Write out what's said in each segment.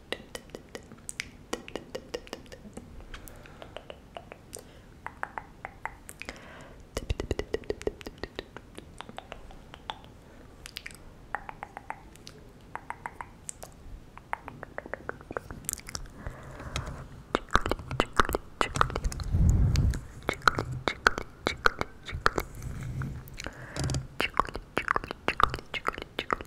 Chickly, chickly, chickly, chickly,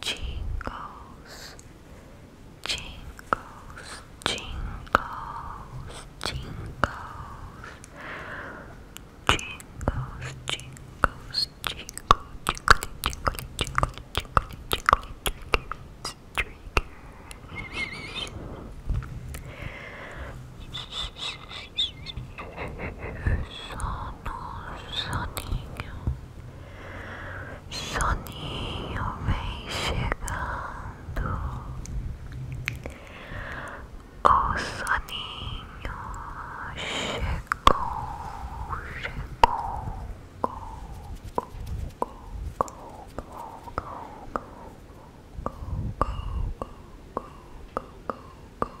jingles, jingles, jingles, jingles, jingles, jingles, jingle, jingle, jingle, jingle, jingle, jingle, jingle, triggers. sono, soninho, soninho vem chegando, o soninho chegou, chegou, go, go, go, go, go, go, go, go, go, go, go, go, go, go,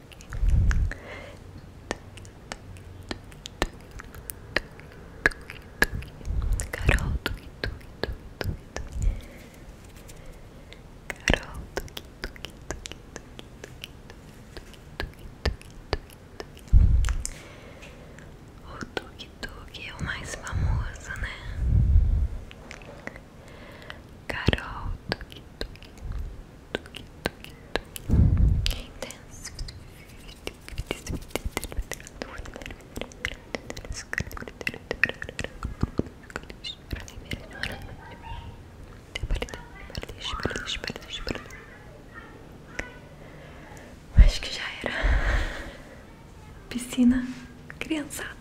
Carol, tuque, tuque, tuque, tuque. Carol, tuque, tuque, tuque, tuque, tuque, tuque. O tuk-tuk é o mais famoso, né? Carol tuki, tuki, tuki, tuki, tuki. Intenso Acho que já era piscina criançada.